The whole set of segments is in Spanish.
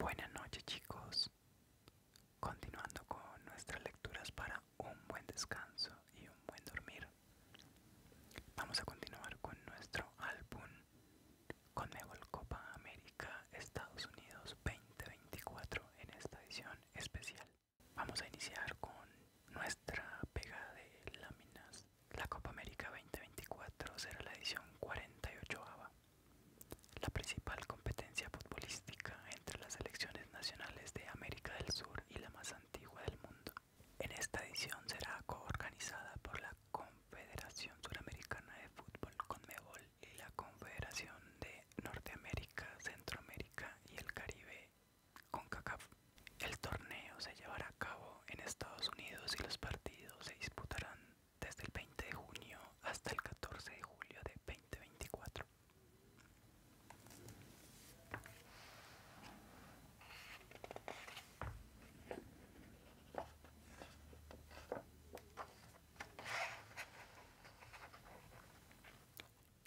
Buenas noches chicos, continuando con nuestras lecturas para un buen descanso y un buen dormir, vamos a continuar con nuestro álbum Conmebol Copa América Estados Unidos 2024 en esta edición especial. Vamos a iniciar con nuestra pegada de láminas. La Copa América 2024 será la edición 48 ABA. La principal competencia futbolística entre las selecciones nacionales de América del Sur y la más antigua del mundo. En esta edición será coorganizada por la Confederación Suramericana de Fútbol Conmebol y la Confederación de Norteamérica, Centroamérica y el Caribe con CONCACAF. El torneo se llevará a cabo en Estados Unidos y los partidos se disputarán desde el 20 de junio hasta el 14 de julio de 2024.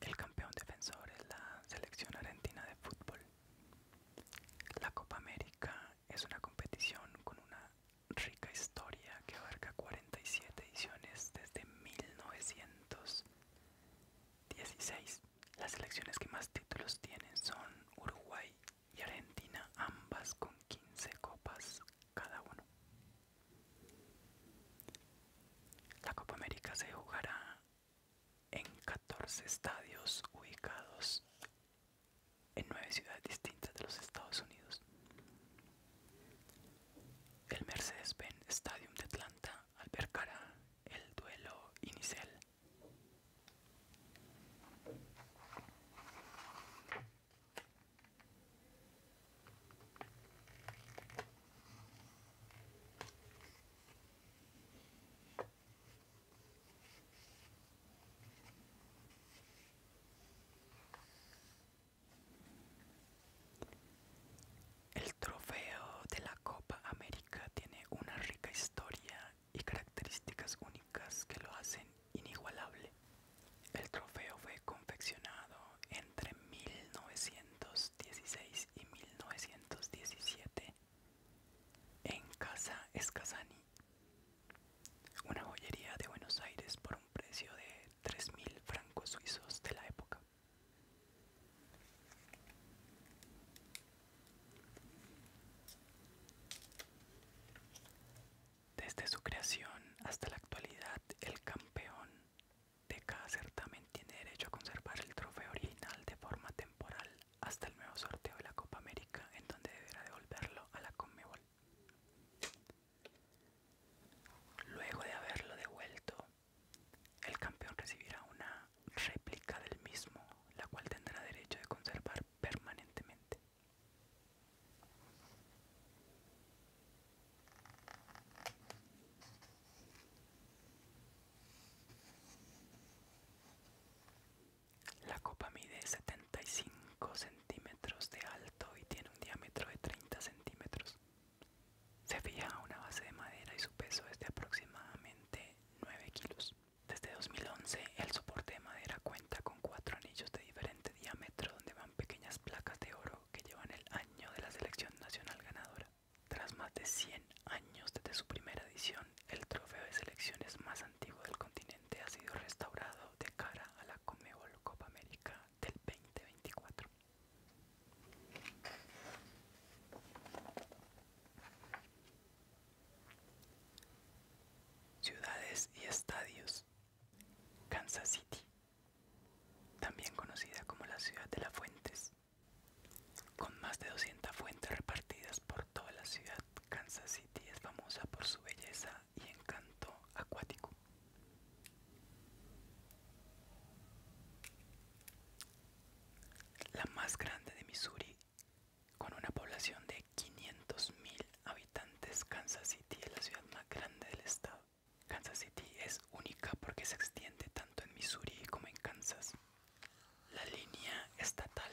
El campeón defensor es la selección argentina de fútbol. La Copa América es una competición con una rica historia que abarca 47 ediciones desde 1916. Las selecciones que más títulos tienen son Uruguay y Argentina, ambas con 15 copas cada uno. La Copa América se jugará en 14 estadios ubicados en nueve ciudades distintas de los Estados Unidos. El Mercedes-Benz Stadium de Atlanta albergará el duelo inicial. El trofeo de la Copa América tiene una rica historia y características únicas que lo hacen inigualable. El trofeo fue confeccionado entre 1916 y 1917 en Casa Escazani, una joyería de Buenos Aires por un precio de 3.000 francos suizos de la época. Desde su creación hasta la actualidad, el campeón de cada certamen tiene derecho a conservar el trofeo original de forma temporal hasta el nuevo sorteo de la Copa América, en donde deberá devolverlo a la Conmebol. Luego de haberlo devuelto, el campeón recibirá una réplica del mismo, la cual tendrá derecho de conservar permanentemente. La copa mide 75 centímetros de alto y tiene un diámetro de 30 centímetros. Se fija a una base de madera y su peso es de aproximadamente 9 kilos. Desde 2011 el soporte de madera cuenta con cuatro anillos de diferente diámetro donde van pequeñas placas de oro que llevan el año de la selección nacional ganadora. Tras más de 100 años desde su primera edición, el trofeo de selección es más antiguo del continente ha sido restaurado de cara a la Comebol Copa América del 2024. Ciudades y estadios. Kansas City, también conocida como la ciudad de las fuentes, con más de 200 fuentes repartidas por toda la ciudad, Kansas City es famosa por su belleza y encanto acuático. La más grande de Missouri, con una población de 500.000 habitantes, Kansas City es la ciudad más grande del estado. Kansas City es única porque se extiende tanto en Missouri como en Kansas. La línea estatal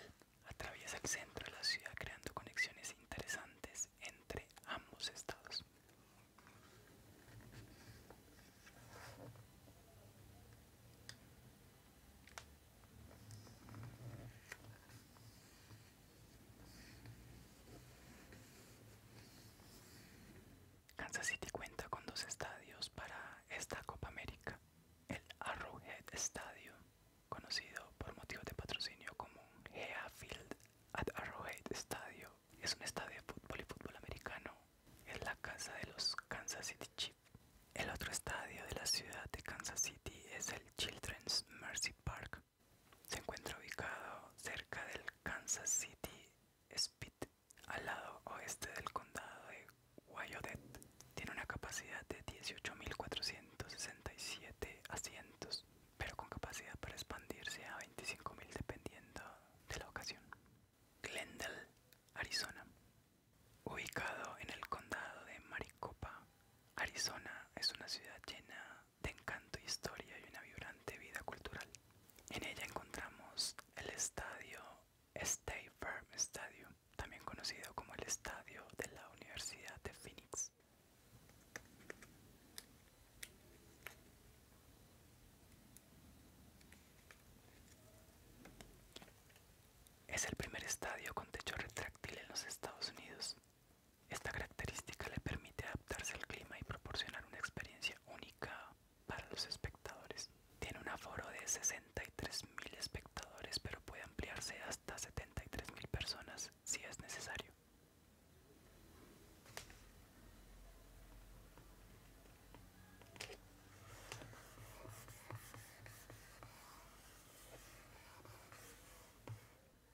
Atraviesa el centro de la ciudad creando conexiones interesantes entre ambos estados. Kansas City cuenta con dos estadios para esta Copa América, el Arrowhead Stadium conocido por motivos de patrocinio como un at Arrowhead Stadium. Es un estadio de fútbol y fútbol americano. Es la casa de los Kansas City Chiefs. El otro estadio de la ciudad de Kansas City es el Children's Mercy Park. Se encuentra ubicado cerca del Kansas City Speed, al lado oeste del condado de Wyodet. Tiene una capacidad de 18.400 167 asientos, pero con capacidad para expandirse a 25.000 dependiendo de la ocasión. Glendale, Arizona. Ubicado en el condado de Maricopa, Arizona es una ciudad llena de encanto, historia y una vibrante vida cultural. En ella encontramos el estadio State Firm Stadium, también conocido como el estadio de la Universidad de Phoenix es el primer estadio con techo retráctil en los Estados Unidos. Esta característica le permite adaptarse al clima y proporcionar una experiencia única para los espectadores. Tiene un aforo de 63.000 espectadores, pero puede ampliarse hasta 73.000 personas si es necesario.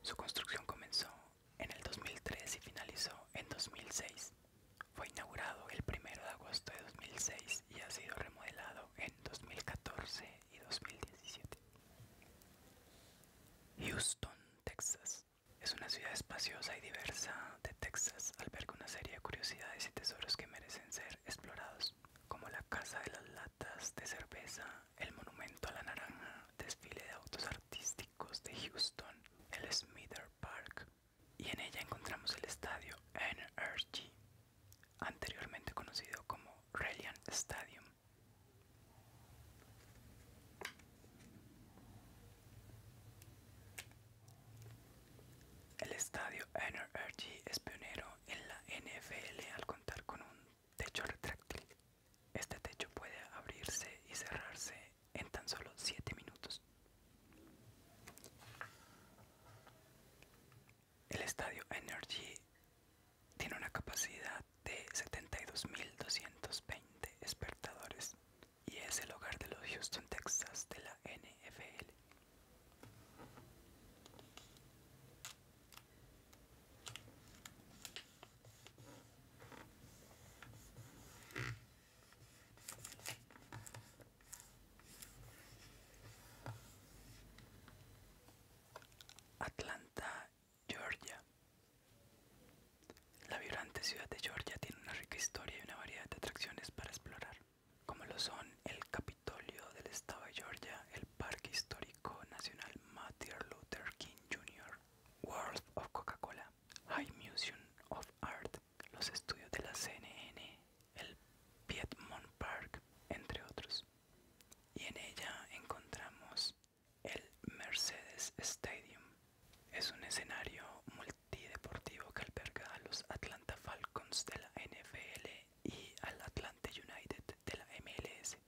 Su construcción comenzó en el 2003 y finalizó en 2006. Fue inaugurado el 1 de agosto de 2006 y ha sido remodelado en 2014 y 2017. Houston, Texas. Es una ciudad espaciosa y diversa de Texas, alberga una serie de curiosidades y tesoros que merecen ser explorados, como la Casa de las Latas de Cerveza, el Monumento a la Naranja, desfile de autos artísticos de Houston, el Smither Park, y en ella encontramos el estadio NRG, anteriormente conocido como Reliant Stadium, el estadio Energy es pionero en la NFL al contar con un techo retráctil. Este techo puede abrirse y cerrarse en tan solo 7 minutos. El estadio Energy tiene una capacidad de 72.220 espectadores y es el hogar de los Houston Texas de la NFL. Atlanta, Georgia. La vibrante ciudad de Georgia tiene una rica historia y una variedad de atracciones para explorar, como lo son el Capitolio del Estado de Georgia, el Parque Histórico Nacional Martin Luther King Jr., World of Coca-Cola, High Museum of Art, los estudios de la CNN, el Piedmont Park, entre otros y en ella encontramos el Mercedes Stadium. Es un escenario multideportivo que alberga a los Atlanta Falcons de la NFL y al Atlanta United de la MLS.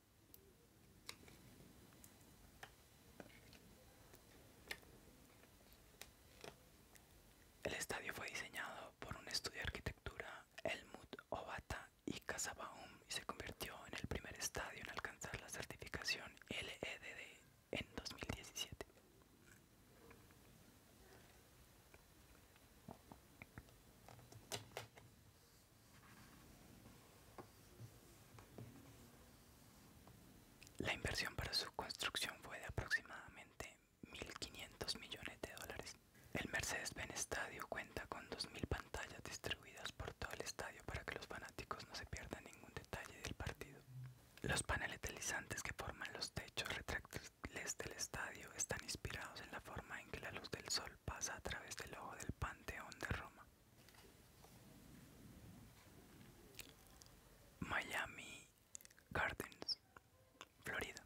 El estadio fue diseñado por un estudio de arquitectura Helmut Obata y Casa se convirtió en el primer estadio en alcanzar la certificación LEDD en 2017. La inversión para su construcción fue de aproximadamente 1.500 millones de dólares. El Mercedes-Benz Estadio cuenta con 2.000 pantallas distribuidas por todo el estadio para que los fanáticos no se pierdan ningún detalle del partido. Los paneles deslizantes que forman los techos retráctiles del estadio están inspirados en la forma en que la luz del sol pasa a través del ojo del Panteón de Roma. Miami Gardens, Florida.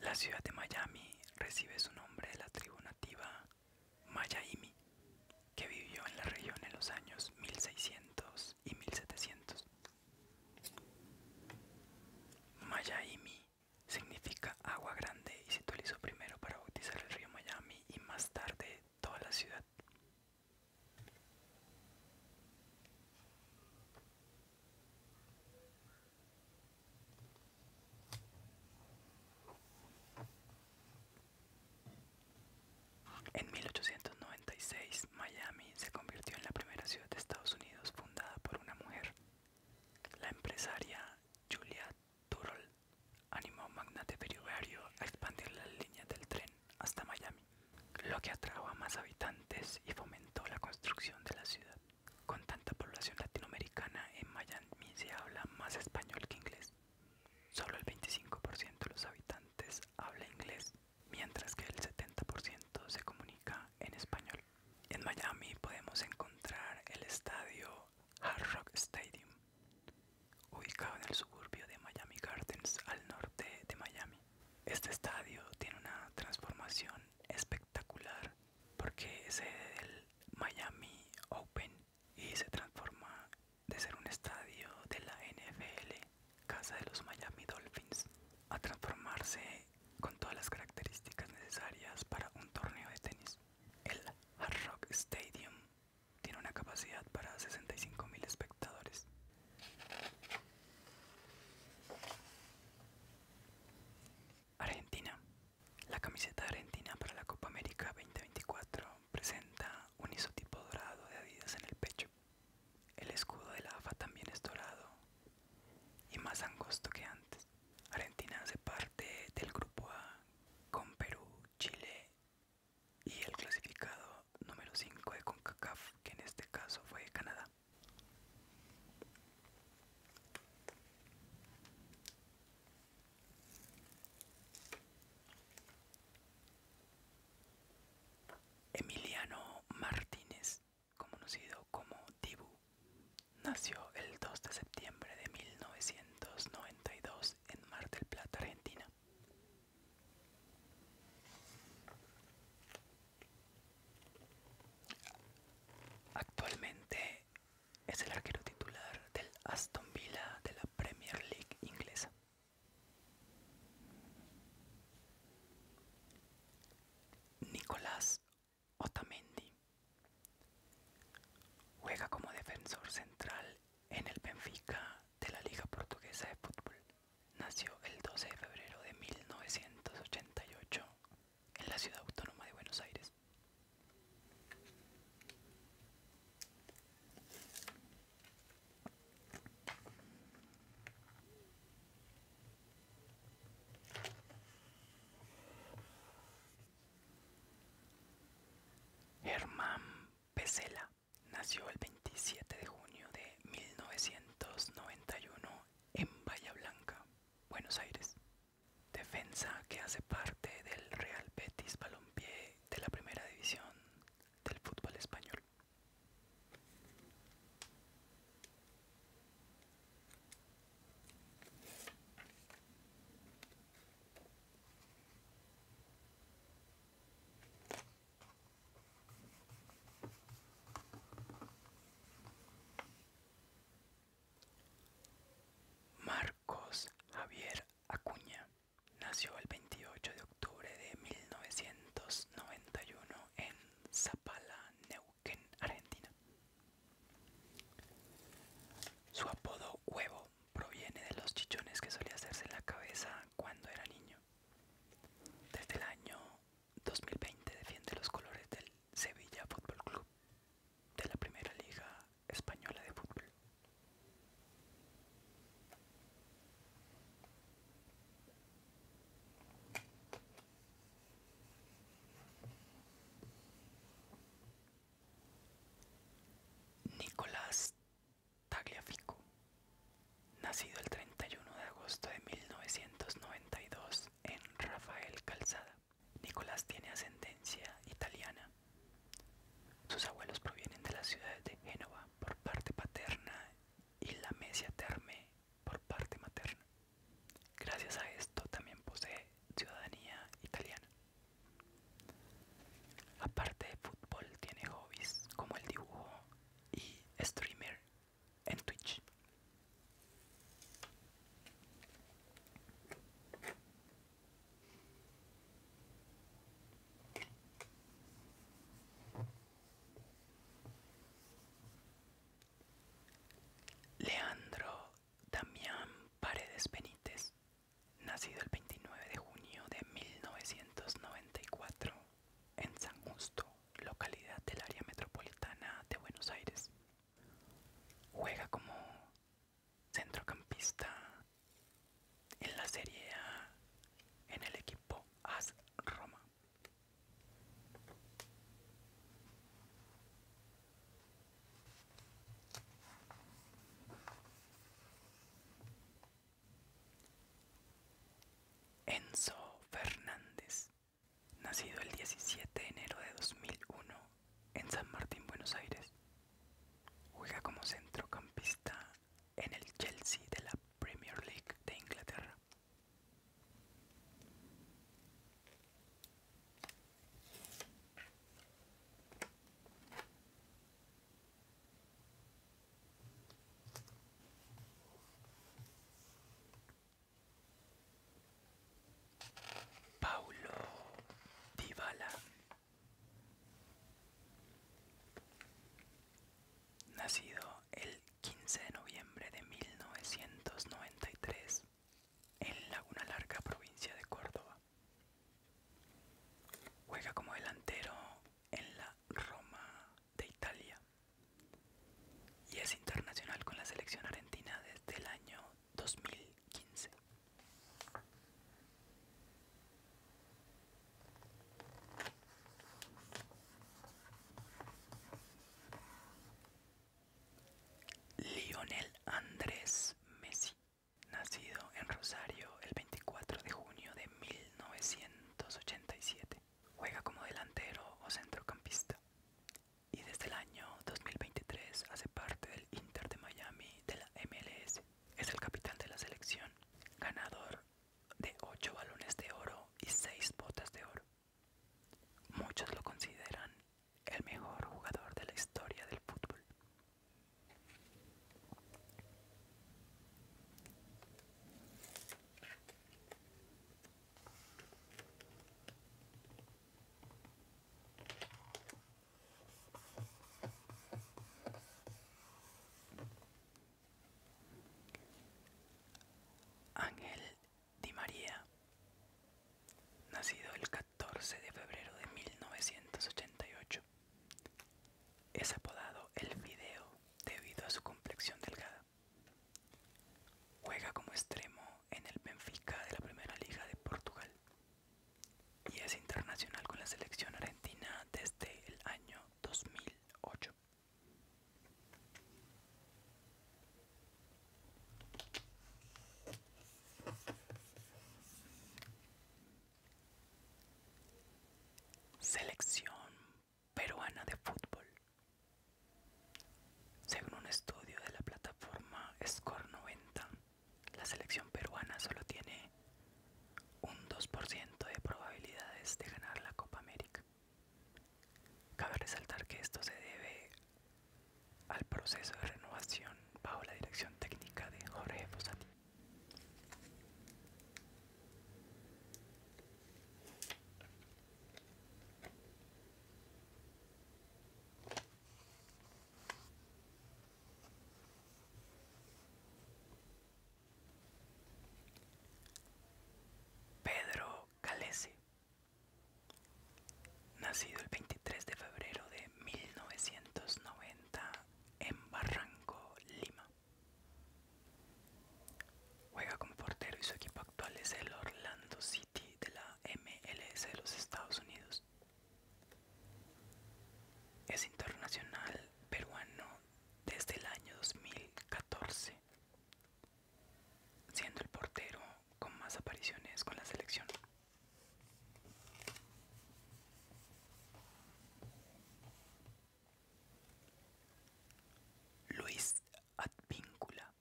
La ciudad de Miami recibe su nombre de la tribu nativa Mayaimi, que vivió en la región en los años 1600 y 1700. Mayaimi significa agua grande y se utilizó primero para bautizar el río Miami y más tarde toda la ciudad. En 1896, Miami se convirtió en la primera ciudad de Estados Unidos fundada por una mujer. La empresaria Julia Turrell animó a magnate ferroviario a expandir la línea del tren hasta Miami, lo que atrajo a más habitantes y fomentó la construcción de la ciudad. Con tanta población latinoamericana, en Miami se habla más español que inglés. Solo el 25% de los habitantes habla inglés, mientras que el 70% se comunica en español. En Miami podemos encontrar el estadio Hard Rock Stadium, ubicado en el suburbio de Miami Gardens al norte de Miami. Este estadio tiene una transformación espectacular porque es el del Miami Open y se transforma de ser un estadio de la NFL, casa de los Miami Dolphins, a transformarse con todas las características necesarias para un torneo de tenis. El Hard Rock Stadium tiene una capacidad para 65.000 espectadores. Argentina. La camiseta argentina para la Copa América 2024 presenta un isotipo dorado de Adidas en el pecho. El escudo de la AFA también es dorado y más angosto que antes. Argentina hace parte del grupo A con Perú, Chile y el clasificado número 5 de CONCACAF, que en este caso fue Canadá. Emiliano Martínez, conocido como Dibu, nació el 2 de septiembre de 1992 en Mar del Plata, Argentina. Actualmente es el arquero titular del Aston Villa de la Premier League inglesa. Nicolás Otamendi juega como defensor central en el Benfica de la Liga Portuguesa de Fútbol. Nació el 12 de febrero de 1988 en la ciudad autónoma de Buenos Aires. Germán Pesela nació el 27 de junio de 1991 en Bahía Blanca, Buenos Aires. Defensa que hace parte del Real Betis Balompié de la Primera División del fútbol español. Marcos Javier Acuña nació el 28 de octubre de 1991 en Zapala, Neuquén, Argentina. Su apodo Huevo proviene de los chichones que solía hacerse en la cabeza cuando era niño. Desde el año 2020 defiende los colores del Sevilla Fútbol Club de la Primera Liga Española de Fútbol. Nicolás Tagliafico, nacido el 31 de agosto de 1992 en Rafael Calzada. Nicolás tiene ascendencia italiana. Sus abuelos provienen de las ciudades de Génova por parte paterna y la Mesia Terme por parte materna. Gracias a esto también posee ciudadanía italiana. Aparte de fútbol tiene hobbies como el dibujo y streamer en Twitch. Leandro Damián Paredes Benítez, nacido el 29 de junio de 1994 en San Justo, localidad del área metropolitana de Buenos Aires. Juega como centrocampista en la Serie A en el equipo AS Roma. Enzo Fernández nacido el 17 de enero de 2001 en San Martín, Buenos Aires. Juega como centrocampista en el Chelsea de la Premier League de Inglaterra. Paulo Dybala Nacido el 15 de noviembre de 1993 en Laguna Larga, provincia de Córdoba. Juega como delantero en la Roma de Italia y es internacional con la selección argentina desde el año 2015. Lionel Andrés Messi, nacido en Rosario el 24 de junio de 1987, juega como delantero o centrocampista y desde el año 2023 hace parte del Inter de Miami de la MLS. Es el capitán de la selección, ganador de 8 balones de oro y 6 botas de oro. Muchos lo consideran el mejor jugador de la historia del fútbol. Ángel Di María, nacido el 14 de febrero de 1988, es apodado El Video debido a su complexión delgada. Juega como extremo en el Benfica de la Primera Liga de Portugal y es internacional con la selección argentina desde el año 2008. Selección peruana de fútbol. Según un estudio de la plataforma Score 90, la selección peruana solo tiene un 2% de probabilidades de ganar la Copa América. Cabe resaltar que esto se debe al proceso de renovación bajo la dirección técnica de Jorge Fosati Pedro Calesi, nacido el 23 de febrero de 1990 en Barranco, Lima. Juega como portero y su equipo actual es el Orlando City de la MLS de los Estados Unidos. Es internacional peruano desde el año 2014, siendo el portero con más apariciones con la selección. Luis Advíncula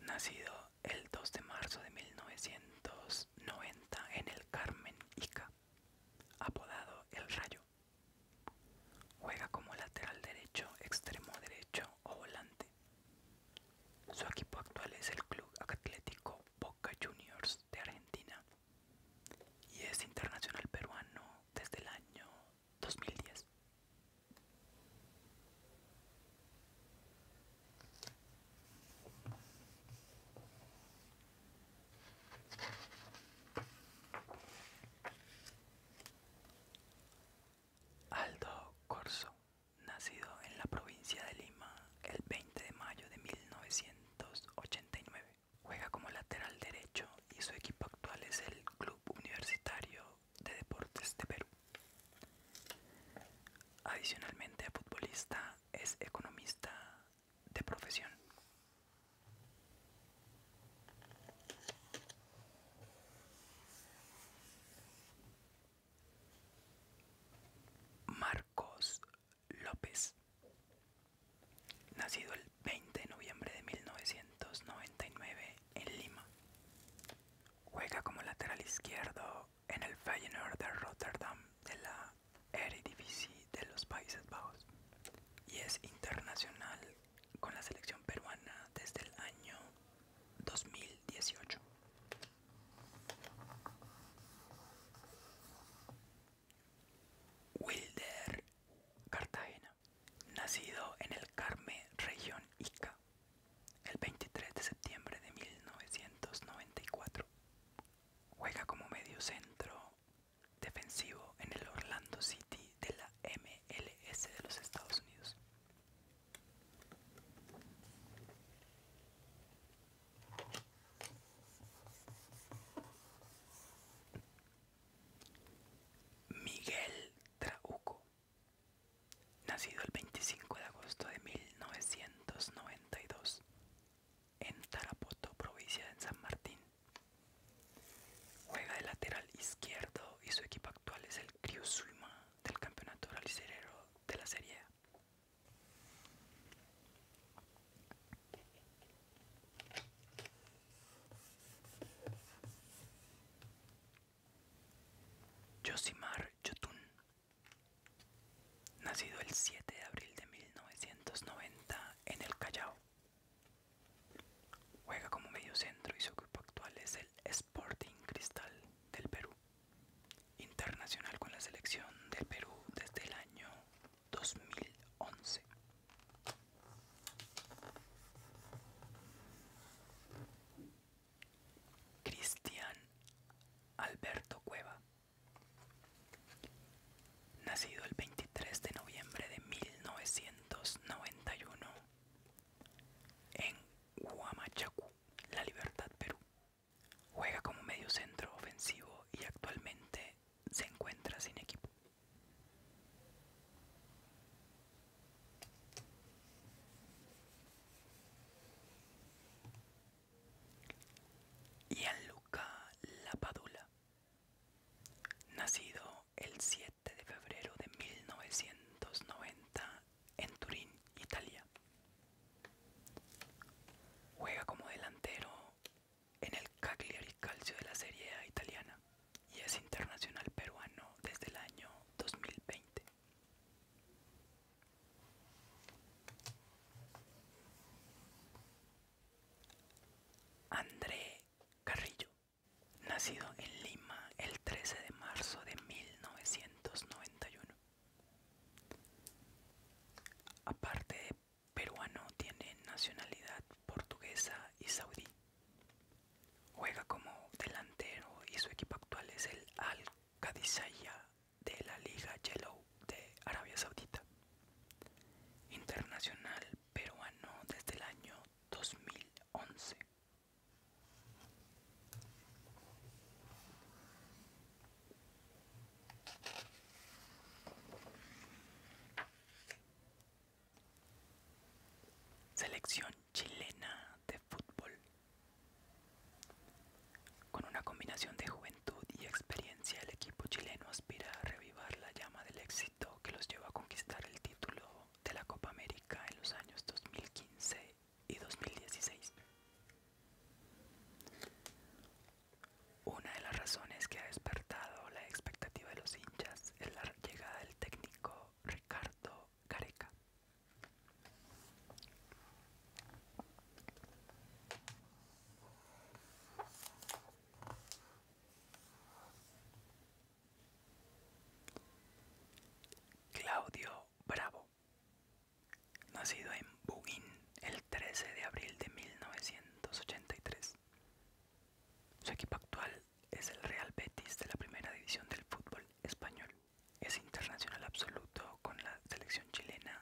Nacido el 2 de marzo de 1990 en el Carmen Ica, apodado El Rayo. Juega como lateral derecho, extremo derecho o volante. Su equipo actual es el Club Atlético Boca Juniors de Argentina y es internacional peruano desde el año 2010. Aldo Corso, nacido en la provincia de Lima el 20 de mayo de 1989, juega como lateral derecho y su equipo actual es el Club Universitario de Deportes de Perú. Adicionalmente a futbolista, es economista de profesión. Marcos López, nacido el 20 de noviembre de 1999 en Lima. Juega como lateral izquierdo en el Feyenoord de Rotterdam de la Eredivisie de los Países Bajos y es internacional con la selección peruana desde el año 2018. Wilder Cartagena nacido en el Carmen, región Ica, el 23 de septiembre de 1994. Juega como centro defensivo en el Orlando City de la MLS de los Estados Unidos. Miguel Trauco nacido el 25 de agosto de 1992 en Tarapoto, provincia de San Martín. Juega de lateral izquierdo y su equipo actual es el Criosuima del Campeonato Ralicerero de la Serie A. Yosimar Yotun, nacido el 7 de abril de 1990 en el Callao. Juega como mediocentro y su equipo actual es el Sporting Cristal del Perú. Internacional con la selección del Perú desde el año 2011. Cristian Alberto Cueva, nacido el 23 de noviembre de 1991 en Huamachacu, La Libertad, Perú. Juega como mediocentro ofensivo y actualmente se encuentra sin equipo. Gianluca Lapadula, nacido el 7 de febrero de 1990 en Turín, Italia. Juega como delantero en el Cagliari Calcio de la Serie A italiana y es internacional peruano desde el año 2020. André Carrillo, nacido en Lima el 13 de marzo de 1991. Aparte de peruano, tiene nacionalidad portuguesa y saudí. Juega como delantero y su equipo actual es el Al Qadisaya de la Liga Yellow de Arabia Saudita. Internacional peruano desde el año 2011. Selección chilena de fútbol. Con una combinación de juventud y experiencia, el equipo chileno aspira a revivar la llama del éxito que los llevó a conquistar el título de la Copa América en los años 2015 y 2016. Una de las razones que ha despertado la expectativa de los hinchas es la llegada del técnico Ricardo Careca Claudio Bravo, nacido en Bugin el 13 de abril de 1983. Su equipo actual es el Real Betis de la primera división del fútbol español. Es internacional absoluto con la selección chilena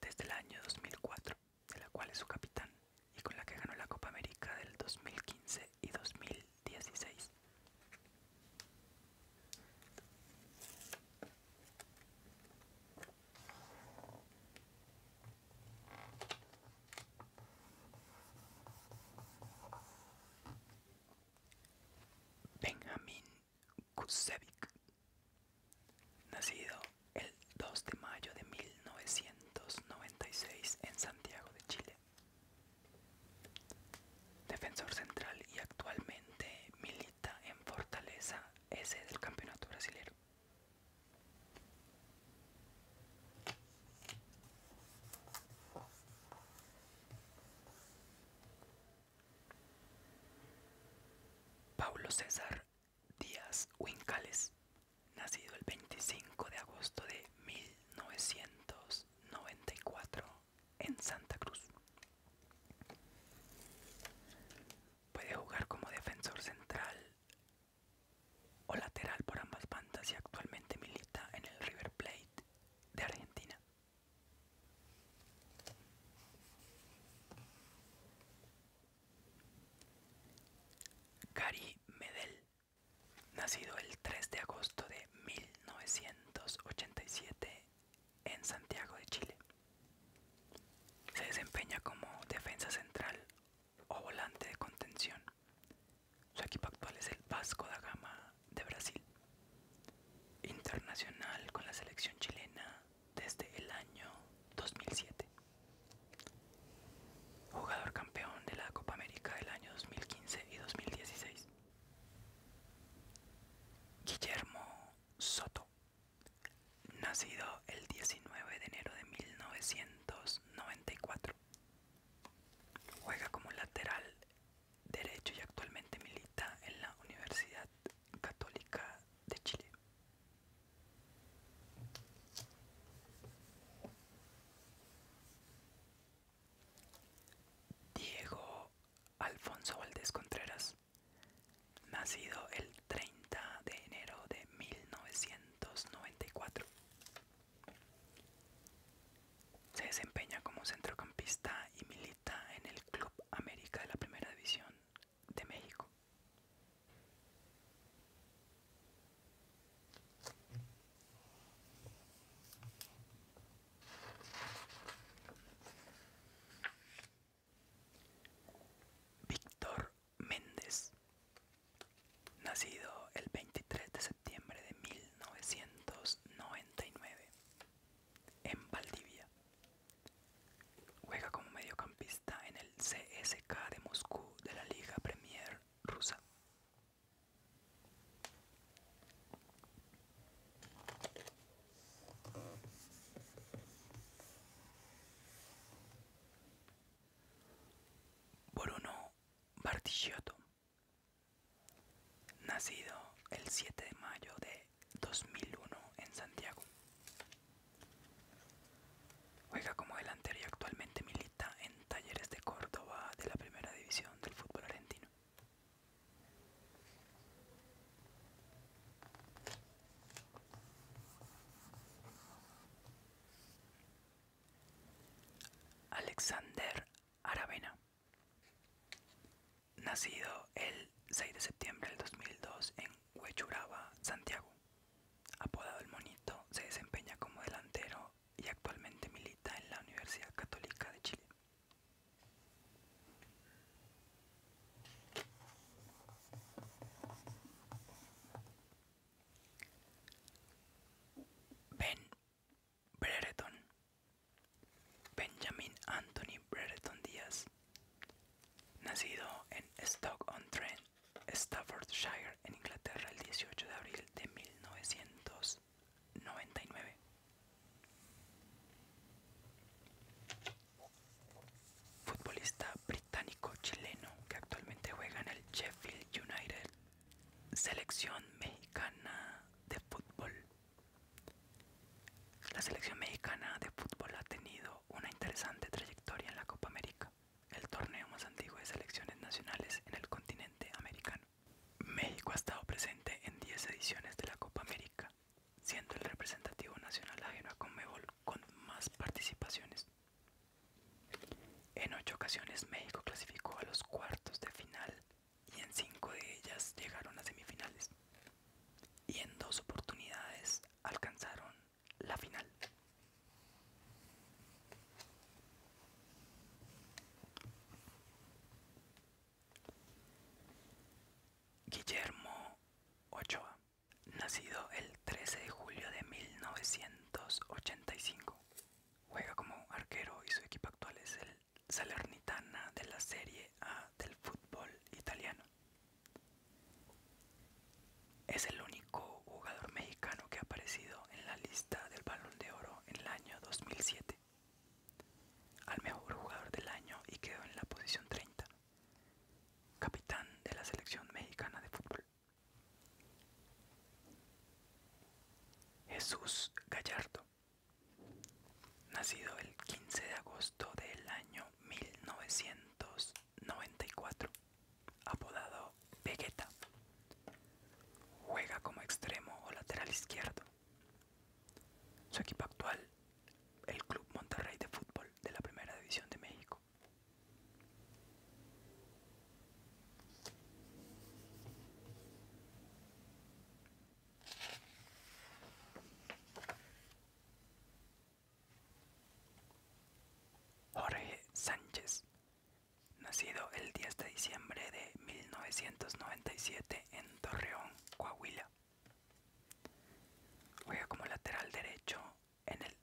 desde el año 2004, de la cual es su capitán y con la que ganó la Copa América del 2015 y 2016. Benjamin Kucevic, nacido el 2 de mayo de 1996 en Santiago de Chile. Defensor central y actualmente milita en Fortaleza S del Campeonato Brasilero. Paulo César Díaz Huincales, nacido el 25 de agosto de 1994 en Santa Cruz. Puede jugar como defensor central o lateral por ambas bandas y actualmente milita en el River Plate de Argentina. Gary Medel, nacido el 3 de agosto de 1987 en Santiago de Chile. Se desempeña como defensa central o volante de contención. Su equipo actual es el Vasco da Gama de Brasil. Internacional con la selección chilena desde el año 2007. Jugador campeón de la Copa América del año 2015 y 2016. Guillermo Soto. Nacido el 19 de enero de 1994. Juega como lateral derecho y actualmente milita en la Universidad Católica de Chile. Diego Alfonso Valdés Contreras, nacido el 30 de enero de 1994. Se desempeña como centrocampista y milita en el Club América de la Primera División de México. Víctor Méndez nacido el 23 de septiembre de 1999 en Valdivia. Juega como mediocampista en el CSK de Moscú de la Liga Premier rusa. Bruno Bartichotto Nacido el 7 de mayo de 2001 en Santiago. Juega como delantero y actualmente milita en Talleres de Córdoba de la Primera División del fútbol argentino. Alexander Aravena, nacido el 6 de septiembre del 2002 en Huechuraba, Santiago. Apodado el Monito, se desempeña como delantero y actualmente milita en la Universidad Católica de Chile. Brereton, Benjamin Anthony Brereton Díaz, nacido en stock on trent Staffordshire, en Inglaterra, el 18 de abril de 1999. Futbolista británico-chileno que actualmente juega en el Sheffield United Selección mexicana de fútbol. La selección mexicana de fútbol ha tenido una interesante trayectoria en la Copa América, el torneo más antiguo de selecciones nacionales en el continente americano. México ha estado presente en 10 ediciones de la Copa América, siendo el representativo nacional ajeno a Conmebol con más participaciones. En ocho ocasiones México clasificó a los cuartos de final y en cinco de ellas llegaron a semifinales. Y en dos oportunidades alcanzaron la final. Guillermo Ochoa, nacido el 13 de julio de 1985, Juega como arquero y su equipo actual es el Salernitana de la Serie A del fútbol italiano. Es el único jugador mexicano que ha aparecido en la lista del Balón de Oro en el año 2007 al mejor jugador del año y quedó en la posición 30, capitán de la selección mexicana de fútbol. Jesús Gallardo, nacido el 15 de agosto del año 1994, apodado Vegeta, juega como extremo o lateral izquierdo. Su equipo actual, el Club Monterrey de Fútbol de la Primera División de México. Jorge Sánchez, nacido el 10 de diciembre de 1997 en Torreón, Coahuila. Juega como lateral derecho en el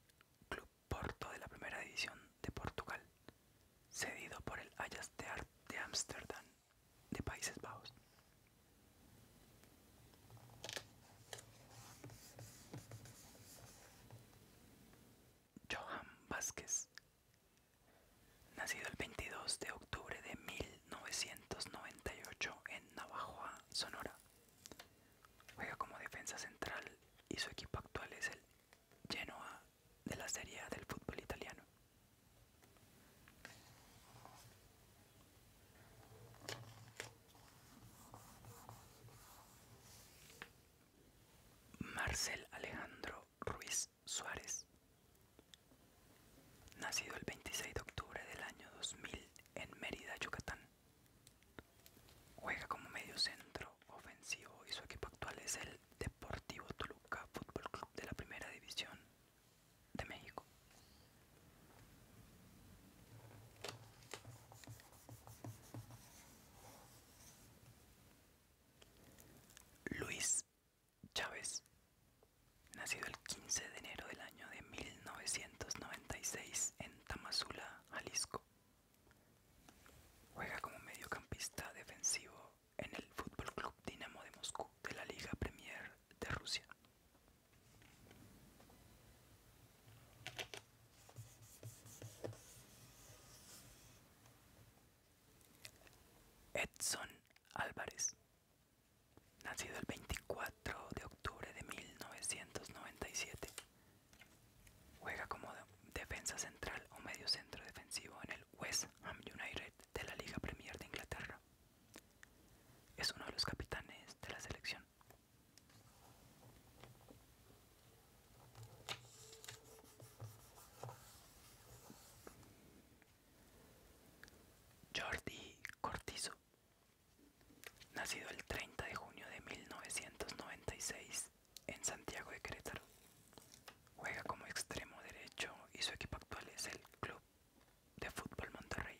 Club Porto de la Primera División de Portugal, cedido por el Ayas de Ámsterdam de, de Países Bajos. Johan Vázquez, nacido el 22 de octubre de 1998 en Navajoa, Sonora. Juega como defensa central y su equipo actual es el Genoa de la Serie del fútbol italiano. Marcel Alejandro Ruiz Suárez, nacido el 26 de octubre del año 2000 en Mérida, Yucatán. Juega como medio centro ofensivo y su equipo actual es el Deportivo Toluca Fútbol Club de la Primera División de México. Luis Chávez, nacido el 15 de enero del año de 1996 en Tamazula, Jalisco, Juega como mediocampista defensivo en el Fútbol Club Dinamo de Moscú de la Liga Premier de Rusia. Edson Álvarez, nacido el 24 de octubre de 1997, Juega como defensa central o medio centro defensivo en el West Ham United de la Liga Premier de Inglaterra. Es uno de los capitanes de la selección. Jordi Cortizo, nacido el 30 de junio de 1996 en Santiago de Querétaro. Juega como extremo derecho y su equipo actual es el Club de Fútbol Monterrey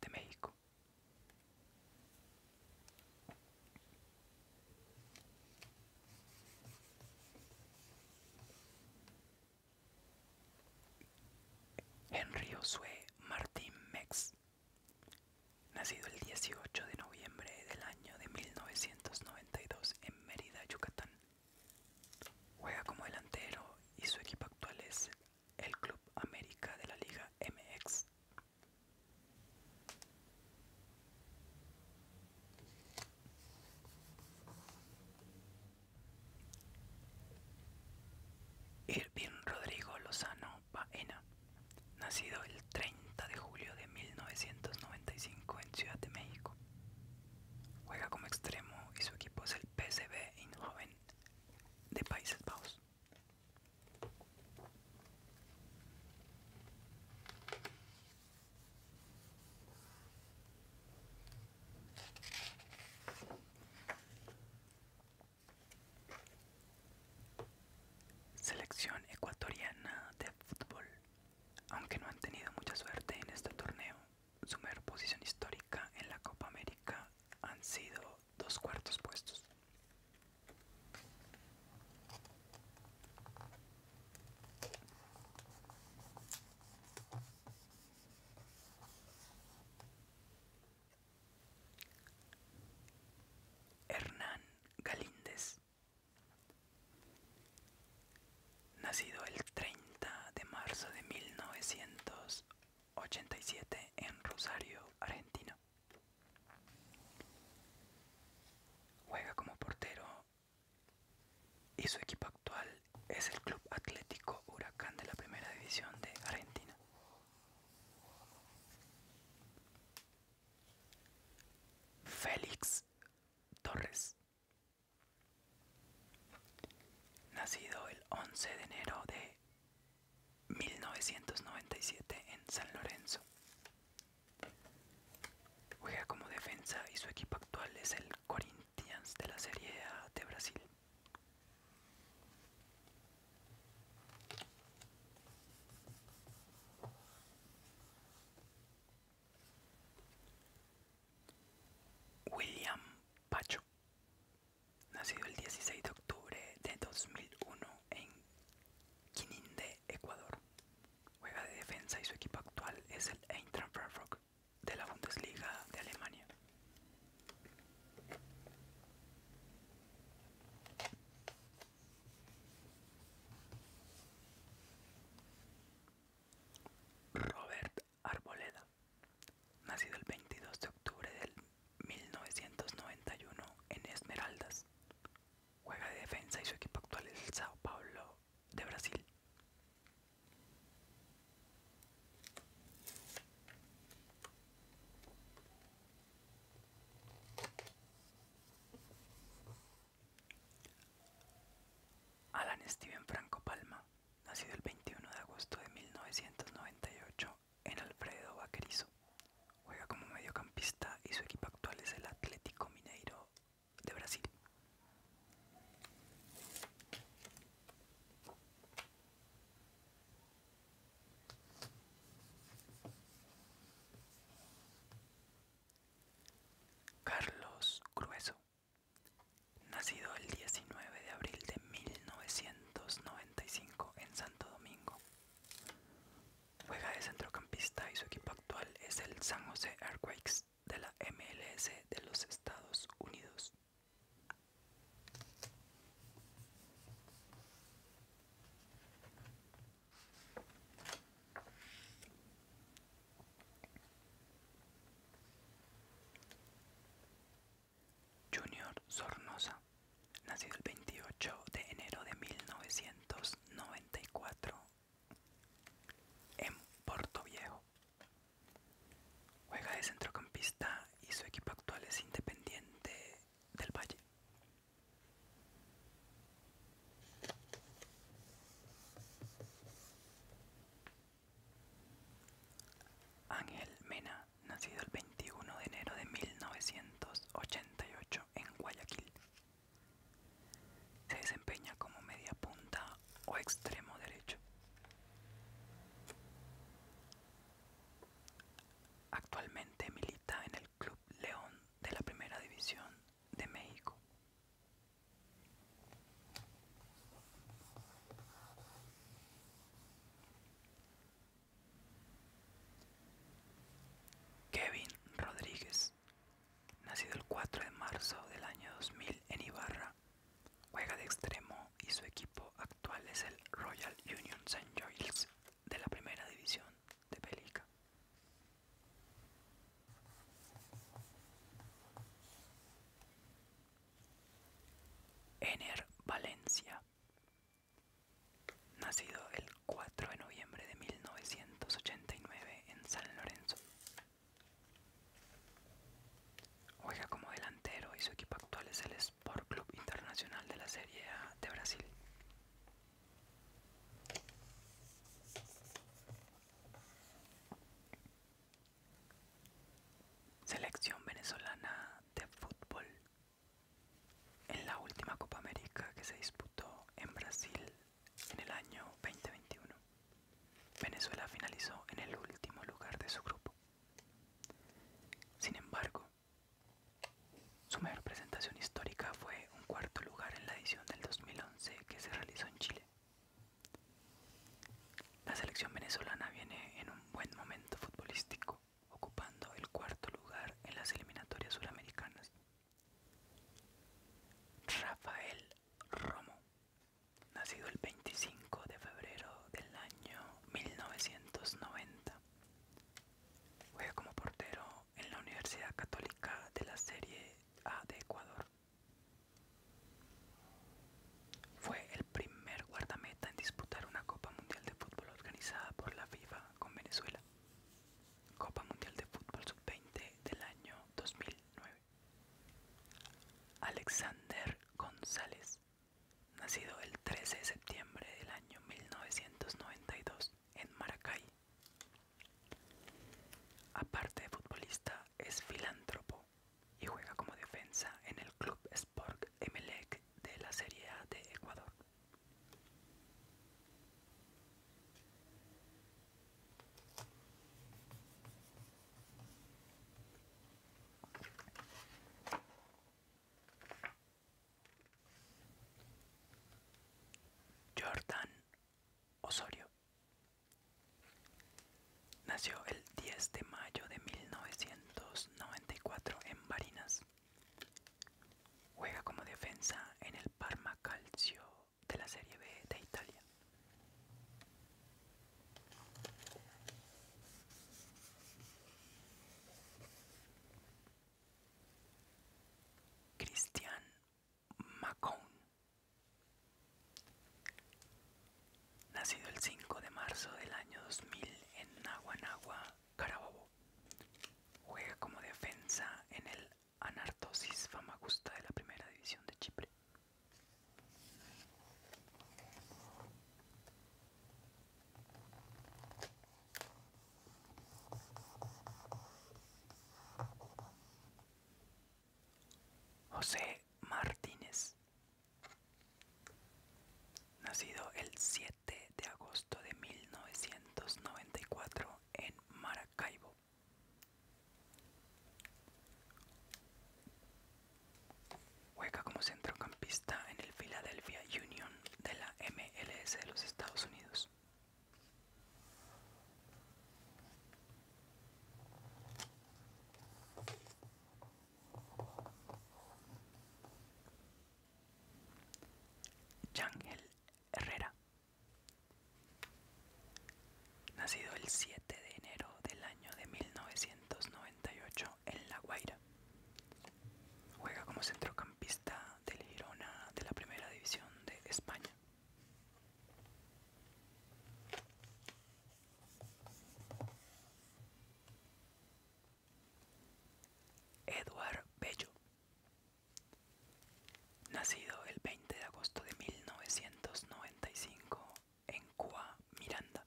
de México. Henry Osue Martín Mex, nacido el 18 de noviembre del año de 1990 en Mérida, Yucatán. Juega como delantero y su equipo actual es el Club América de la Liga MX. Irvin Rodrigo Lozano Baena, nacido el 30 de julio de 1995 en Ciudad de México. Juega como extremo y su equipo es el PSV Eindhoven de Países Bajos. Selección ecuatoriana de fútbol aunque no han tenido mucha suerte en este torneo, su mejor posición histórica en la Copa América han sido dos cuartos puestos. Hernán Galíndez Nacido el 30 de marzo de 1987 en Rosario, Argentina. Juega como portero y su equipo actual es el Club Atlético Huracán de la Primera División de Argentina. Félix Torres. Nacido el 11 de enero de 1997 en San Lorenzo. Juega como defensa y su equipo actual es el Corinthians de la Serie A de Brasil. William Pacho, nacido el 16 de octubre de 2001 en Quininde, Ecuador. Juega de defensa y su equipo actual es el Eintracht Frankfurt de la Bundesliga de Alemania. Robert Arboleda, nacido el 22 de octubre del 1991 en Esmeraldas. Juega de defensa y su equipo actual es el Sao Paulo de Brasil. Alan Steven Franco Palma, nacido el 21 de agosto de 1998 en Alfredo Vaquerizo, juega como mediocampista y su equipo actual es el Atlético Mineiro de Brasil. Carlos Crueso, nacido el 19 de abril de 1995 en Santo Domingo. Juega de centrocampista y su equipo actual es el San Jose Earthquakes de la MLS de los Estados Unidos. Junior Sornosa, nacido el 28 de enero de 1994 en Puerto Viejo. Juega de centrocampista y su equipo actual es Independiente del Valle. Ángel Mena, nacido el 21 de enero de 1988 en Guayaquil. Se desempeña como media punta o extremo derecho. Actualmente milita en el Club León de la Primera División de México. Kevin Rodríguez, nacido el 4 de marzo del año 2000 en Ibarra, juega de extremo y su equipo actual es el Royal Union St. Joels de la Primera División de Pelica Ener Valencia, nacido el 4 de noviembre de 1989 en San Lorenzo. Juega como delantero y su equipo actual es el Sport Club Internacional de la Serie A de Brasil. Selección venezolana de fútbol. En la última Copa América que se disputó en Brasil en el año 2021, Venezuela finalizó en el último lugar de su grupo. Sin embargo, su mejor presentación histórica fue un cuarto lugar en la edición del 2011 que se realizó en Chile. La selección venezolana viene en un buen momento futbolístico, ocupando el cuarto lugar en las eliminatorias suramericanas. Rafael Romo, nacido el 25 de febrero del año 1990, juega como portero en la Universidad Católica de la Serie Ah, de Ecuador. Fue el primer guardameta en disputar una Copa Mundial de Fútbol organizada por la FIFA con Venezuela. Copa Mundial de Fútbol Sub-20 del año 2009. Alexander González, nacido el 13 de septiembre del año 1992 en Maracay, Aparte de futbolista, es filántropo y juega como defensa en el club Sport Emelec de la Serie A de Ecuador. Jordan Osorio. Nació el 10 de mayo de 1994 en Barinas. Juega como defensa en el Parma Calcio de la Serie B de Italia. Cristian Macon. Nacido el 5 de marzo del año 2000 en Naguanagua, Carabobo. Juega como defensa en el Anartosis Famagusta de la Primera División de Chipre. José Martínez, nacido el 7 de agosto de 1994 en Maracaibo. Juega como centrocampista en el Philadelphia Union de la MLS de los Estados Unidos. Jangel Herrera, nacido el 7 de enero del año de 1998 en La Guaira, juega como centrocampista del Girona de la Primera División de España. Eduard Bello, nacido el 20 de agosto de 1995 en Coa, Miranda.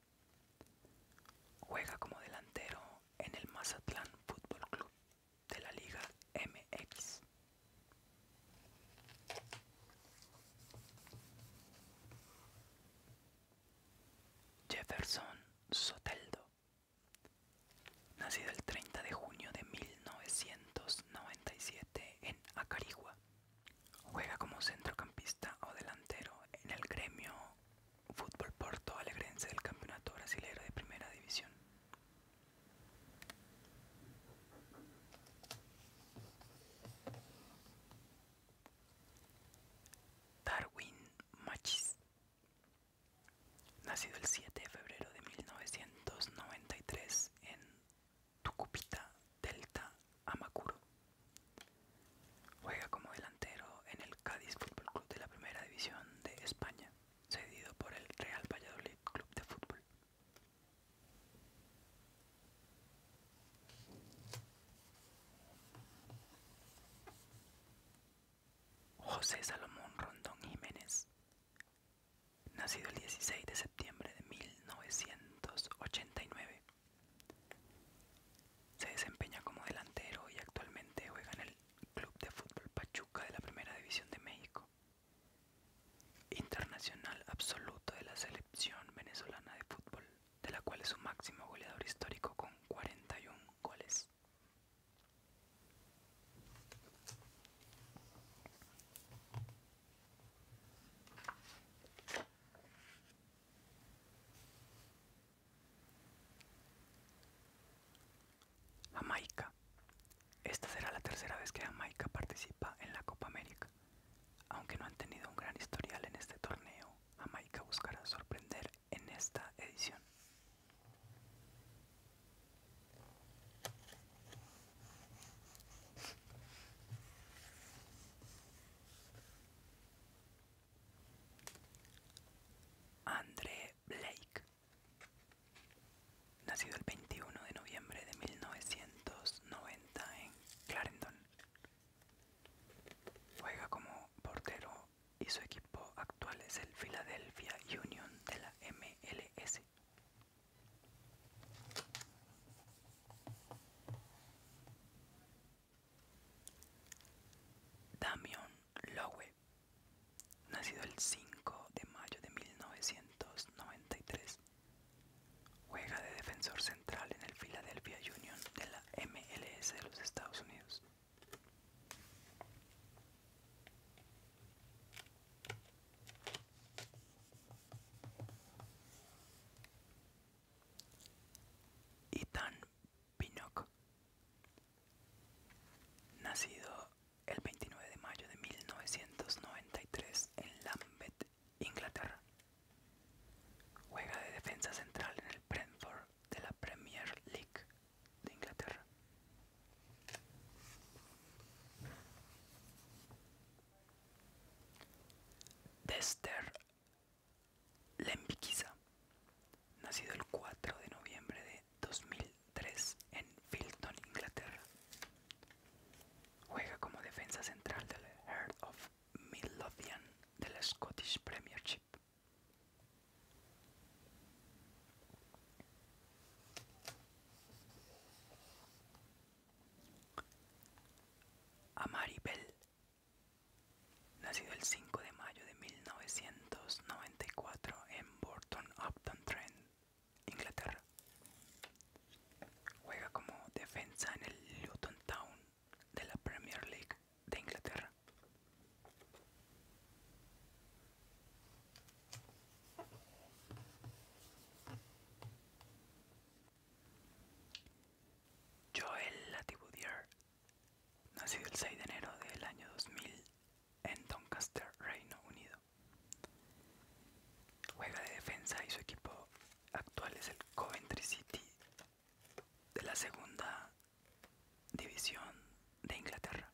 Juega como delantero en el Mazatlán Fútbol Club de la Liga MX. Jefferson Soteldo, nacido el 30 de junio de 1997 en Acarigua, juega como centrocampista o delantero en el gremio Fútbol Porto Alegrense del Campeonato Brasilero de Primera División. Darwin Machis, nacido el 7 de febrero de 1993 en Tucupita, Delta, Amacuro. Juega como delantero en el Cádiz Fútbol Club de la Primera División de España cedido por el Real Valladolid Club de Fútbol. José Salomón Rondón Jiménez, nacido el 16 de septiembre de 1989, se desempeña como delantero y actualmente juega en el Club de Fútbol Pachuca de la Primera División de México. Internacional absoluto de la selección venezolana de fútbol, de la cual es su máximo goleador histórico con 41 goles. Jamaica. Esta será la tercera vez que Jamaica participa en la Copa América. Aunque no han tenido un gran historial en este torneo, Jamaica buscará sorprender en esta edición. André Blake Nacido el 21 de noviembre de 1990 en Clarendon. Juega como portero y su equipo actual es el Philadelphia Union de la MLS. Damian Lowe Nacido el 5 de mayo de 1993, juega de defensor central en el Philadelphia Union de la MLS de los Estados Unidos. Ethan Pinnock, nacido el 29 de mayo de 1993 en Lambeth, Inglaterra. Juega de defensa central en el Brentford de la Premier League de Inglaterra. Dester Lembikiza, nacido el 4 de noviembre de 2000 3 en Filton, Inglaterra. Juega como defensa central del Heart of Midlothian de la Scottish Premiership. Amari Bell, nacido el 5 de mayo de 1994 en Burton Upton Trent, Inglaterra. Juega como defensa en el Luton Town de la Premier League de Inglaterra. Joel Latibudier, nacido el 6 de enero del año 2000 en Doncaster, Reino Unido. Juega de defensa y su equipo actual es el Coventry City de la segunda división de Inglaterra.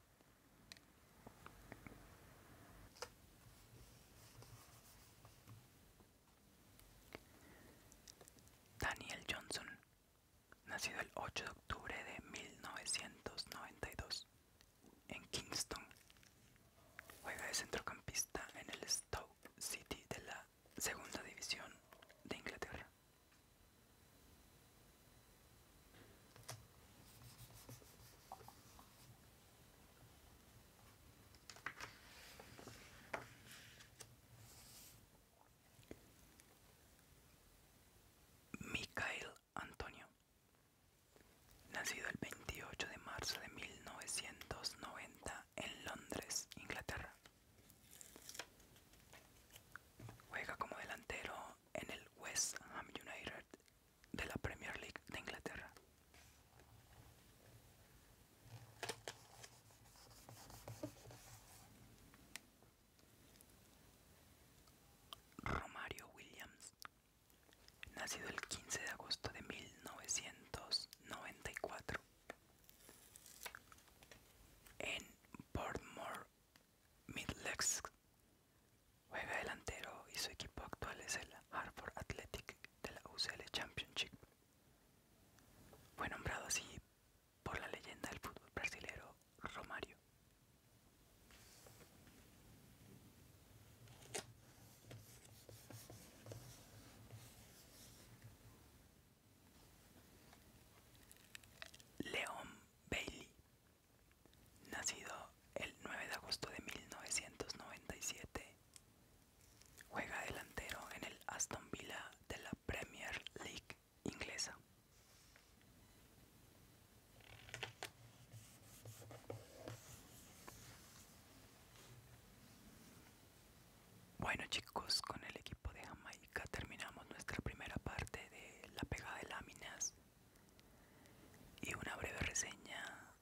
Daniel Johnson, nacido el 8 de octubre de 1992, en Kingston. Juega de centrocampista en el Stoke City de la Segunda División de Inglaterra. Antonio. Nacido el 28 de marzo de 1990 en Londres, Inglaterra. Juega como delantero en el West Ham United de la Premier League de Inglaterra. Romario Williams nacido el 15 de agosto de 1994 en Portmore Middlesex. Juega delantero y su equipo actual es el Harvard Athletic de la UCL Championship. Fue nombrado así por la leyenda del fútbol brasilero Romario. Leon Bailey, nacido el 9 de agosto de 1997, juega delantero en el Aston Villa de la Premier League inglesa. Bueno chicos, con el equipo de Jamaica terminamos nuestra primera parte de la pegada de láminas y una breve reseña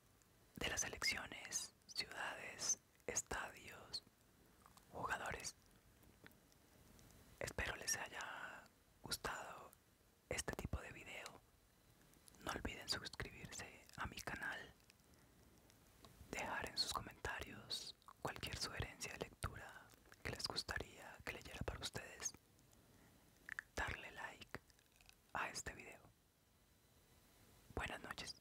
de las elecciones, ciudades, estadios, jugadores. Espero les haya gustado este tipo de video, no olviden suscribirse a mi canal, dejar en sus comentarios cualquier sugerencia de lectura que les gustaría que leyera para ustedes, darle like a este video. Buenas noches.